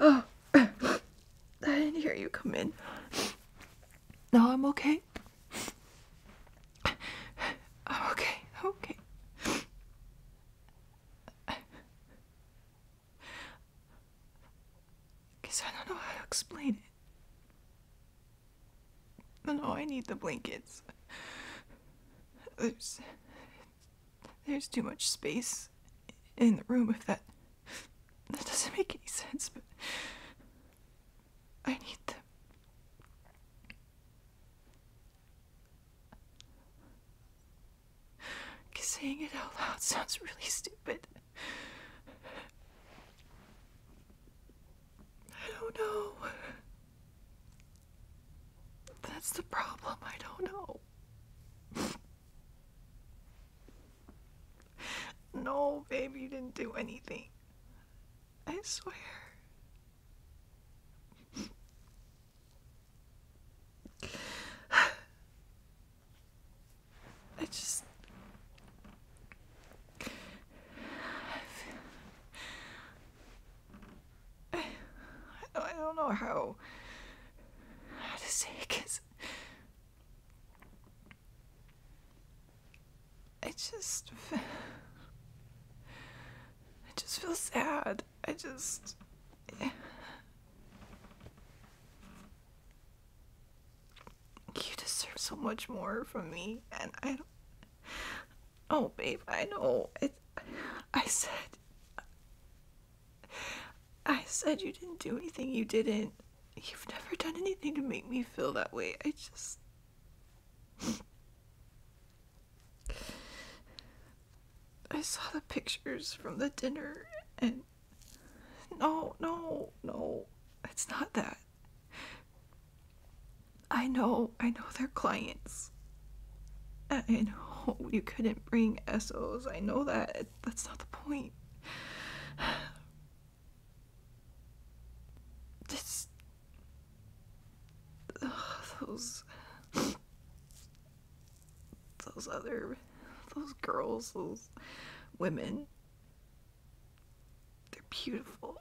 Oh, I didn't hear you come in. No, I'm okay. I'm okay, okay. guess I don't know how to explain it. No, I need the blankets. There's. There's too much space in the room if that. That doesn't make any sense, but. I need them. Saying it out loud sounds really stupid. I don't know. That's the problem. I don't know. no, babe, you didn't do anything. I swear. I just. I, I don't know how, how to say it just I just feel sad. I just. You deserve so much more from me, and I don't. Oh, babe, I know. It, I said. I said you didn't do anything. You didn't. You've never done anything to make me feel that way. I just. I saw the pictures from the dinner and. No, no, no. It's not that. I know, I know they're clients. I know you couldn't bring SOs. I know that. That's not the point. Just. those. Those other. Those girls, those women they're beautiful.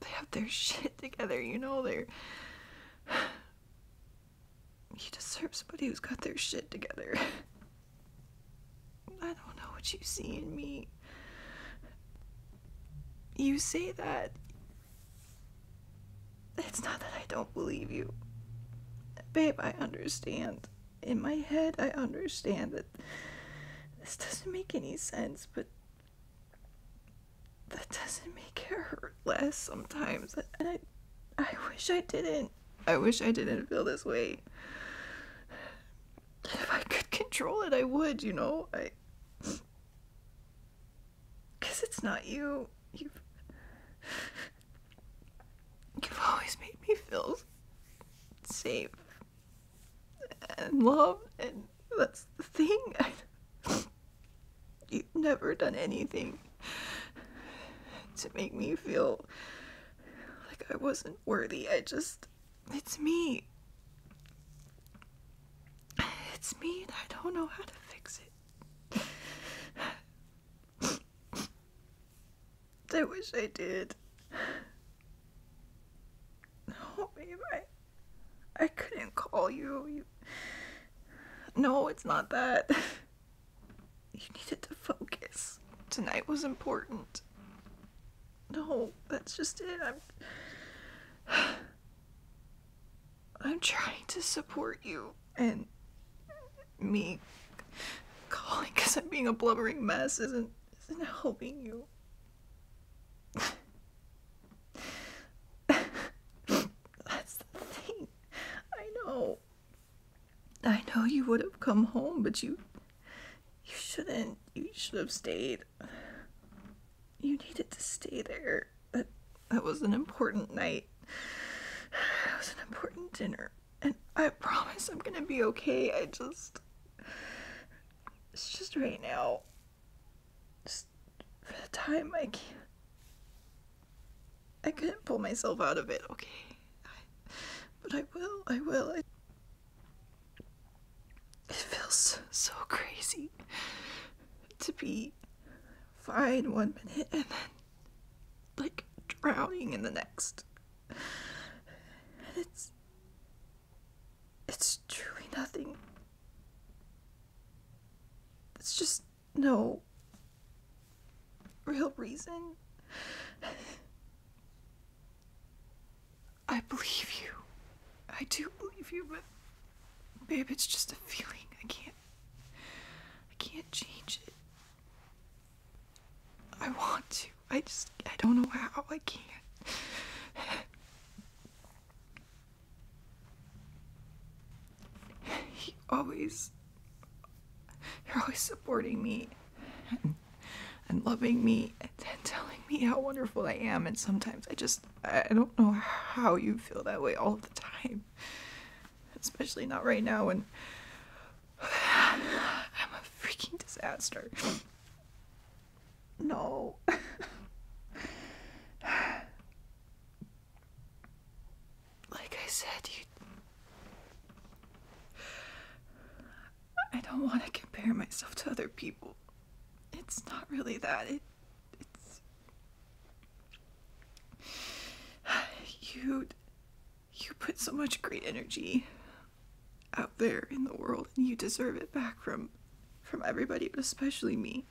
They have their shit together, you know, they're you deserve somebody who's got their shit together. I don't know what you see in me. You say that. It's not that I don't believe you. Babe, I understand in my head, I understand that this doesn't make any sense, but that doesn't make her hurt less sometimes. And I, I wish I didn't. I wish I didn't feel this way. If I could control it, I would, you know? I. Because it's not you. you You've always made me feel safe and loved, and that's the thing. You've never done anything to make me feel like I wasn't worthy. I just. It's me. It's me, and I don't know how to fix it. I wish I did. No, babe, I, I couldn't call you. you. No, it's not that. You needed to focus. Tonight was important. No, that's just it. I'm. I'm trying to support you and me calling because I'm being a blubbering mess isn't isn't helping you. That's the thing. I know. I know you would have come home, but you you shouldn't. You should have stayed. You needed to stay there. That that was an important night. It was an important dinner. And I promise I'm gonna be okay. I just. It's just right now. Just for the time I can't. I couldn't pull myself out of it, okay? but I will, I will. I, it feels so crazy to be fine one minute and then like drowning in the next. It's it's truly nothing. It's just no real reason. I believe you. I do believe you, but babe, it's just a feeling. I can't I can't change it. I want to. I just, I don't know how. I can't. He always, you're always supporting me and, loving me and telling me how wonderful I am. And sometimes I just, I don't know how you feel that way all the time especially not right now when I'm a freaking disaster. No. like I said, you. I don't want to compare myself to other people. It's not really that. you you put so much great energy out there in the world and you deserve it back from from everybody but especially me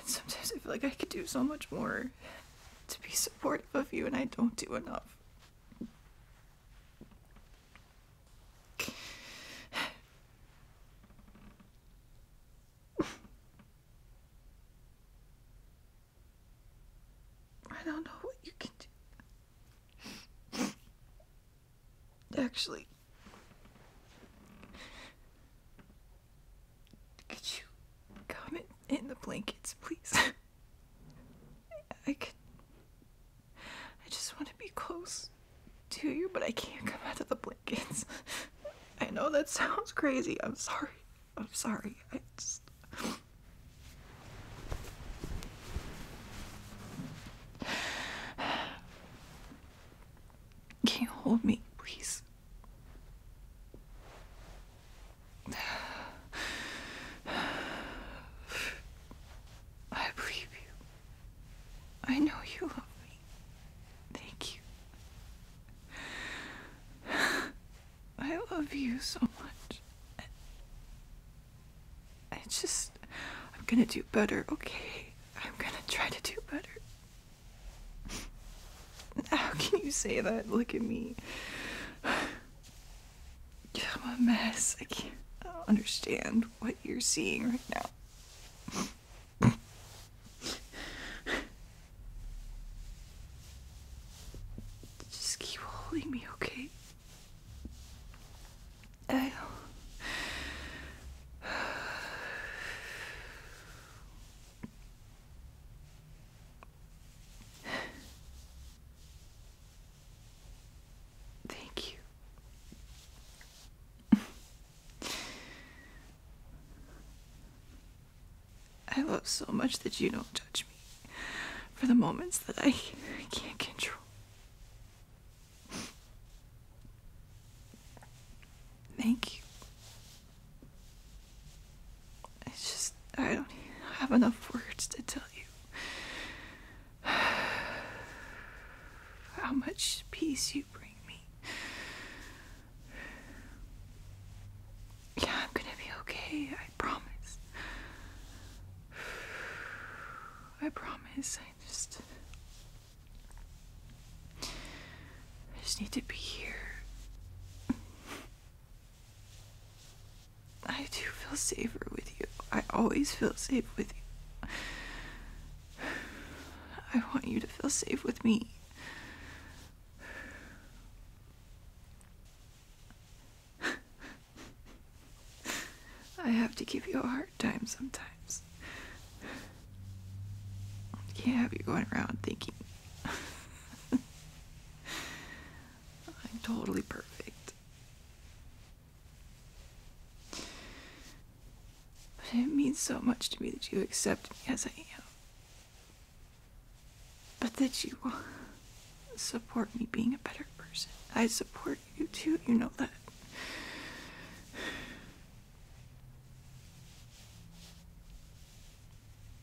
and sometimes i feel like i could do so much more to be supportive of you and i don't do enough I don't know what you can do. Actually, could you come in, the blankets, please? I could. I just want to be close. Do you, but I can't come out of the blankets. I know that sounds crazy. I'm sorry. I'm sorry. I just. Can you hold me, please? I believe you. I know you love me. Thank you. I love you so much. I, just. I'm gonna do better, okay? I'm gonna try to do better. How can you say that? Look at me. I'm a mess. I can't understand what you're seeing right now. Just keep holding me, okay? I know. Thank you. I love so much that you don't judge me for the moments that I can't control. Thank you. It's just, I don't have enough words to tell you How much peace you bring me. Yeah, I'm gonna be okay. I promise. I promise. I just. I just need to be here. I do feel safer with you. I always feel safe with you. I want you to feel safe with me. I have to give you a hard time sometimes. can't have you going around thinking I'm totally perfect. But it means so much to me that you accept me as I am. But that you support me being a better person. I support you too, you know that.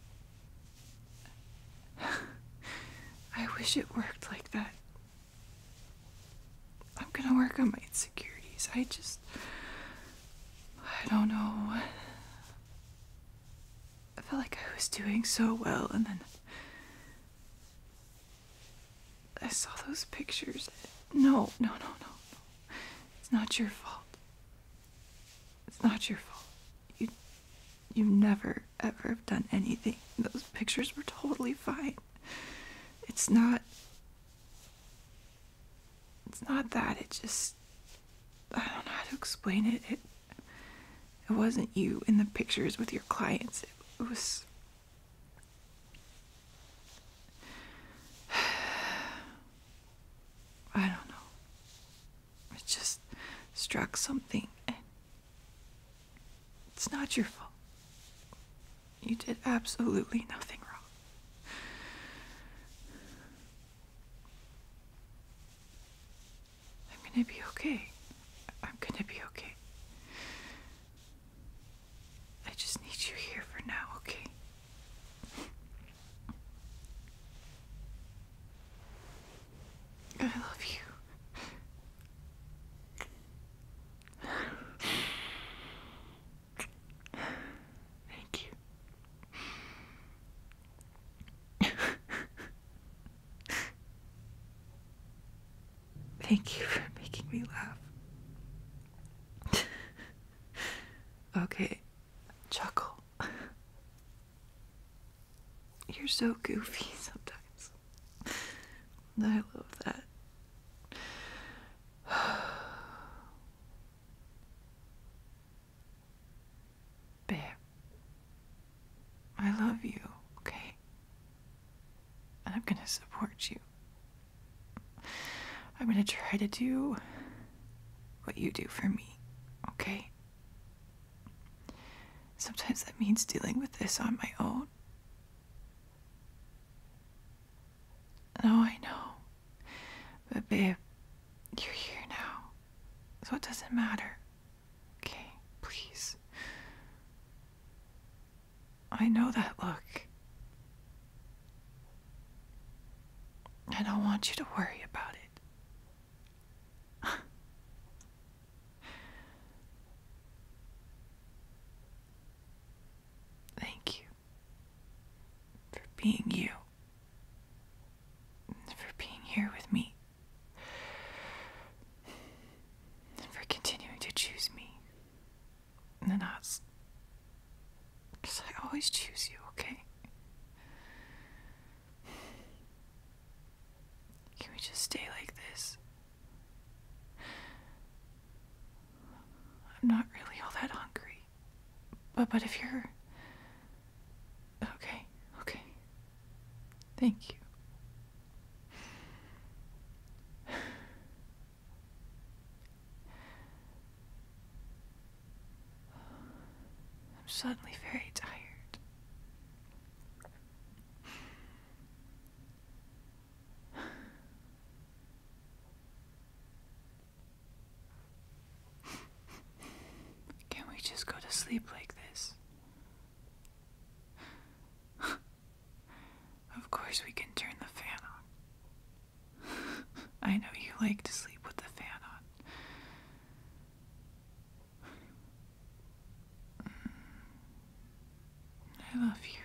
I wish it worked like that. I'm gonna work on my insecurities. I just. I don't know. I felt like I was doing so well, and then. I saw those pictures. No, no, no, no, It's not your fault. It's not your fault. You you have never ever have done anything. Those pictures were totally fine. It's not. It's not that. It just. I don't know how to explain it. It, it wasn't you in the pictures with your clients. It, was. I don't know. It just struck something. It's not your fault. You did absolutely nothing wrong. I'm gonna be okay. I'm gonna be okay. I just need you here for now, okay? I love you. Thank you. Thank you for making me laugh. okay, chuckle. You're so goofy sometimes. I love that. Babe, I love you, okay? I'm gonna support you. I'm gonna try to do what you do for me, okay? Sometimes that means dealing with this on my own. Oh, I know. But, babe, you're here now. So it doesn't matter. Okay, please. I know that look. I don't want you to worry about it. Thank you for being you, for being here with me, and for continuing to choose me. And us. Because I always choose you, okay? Can we just stay like this? I'm not really all that hungry. But but if you're Okay, okay. Thank you. I'm suddenly very tired. Can we just go to sleep like this? of course, we can turn the fan on. I know you like to sleep with the fan on. Mm. I love you.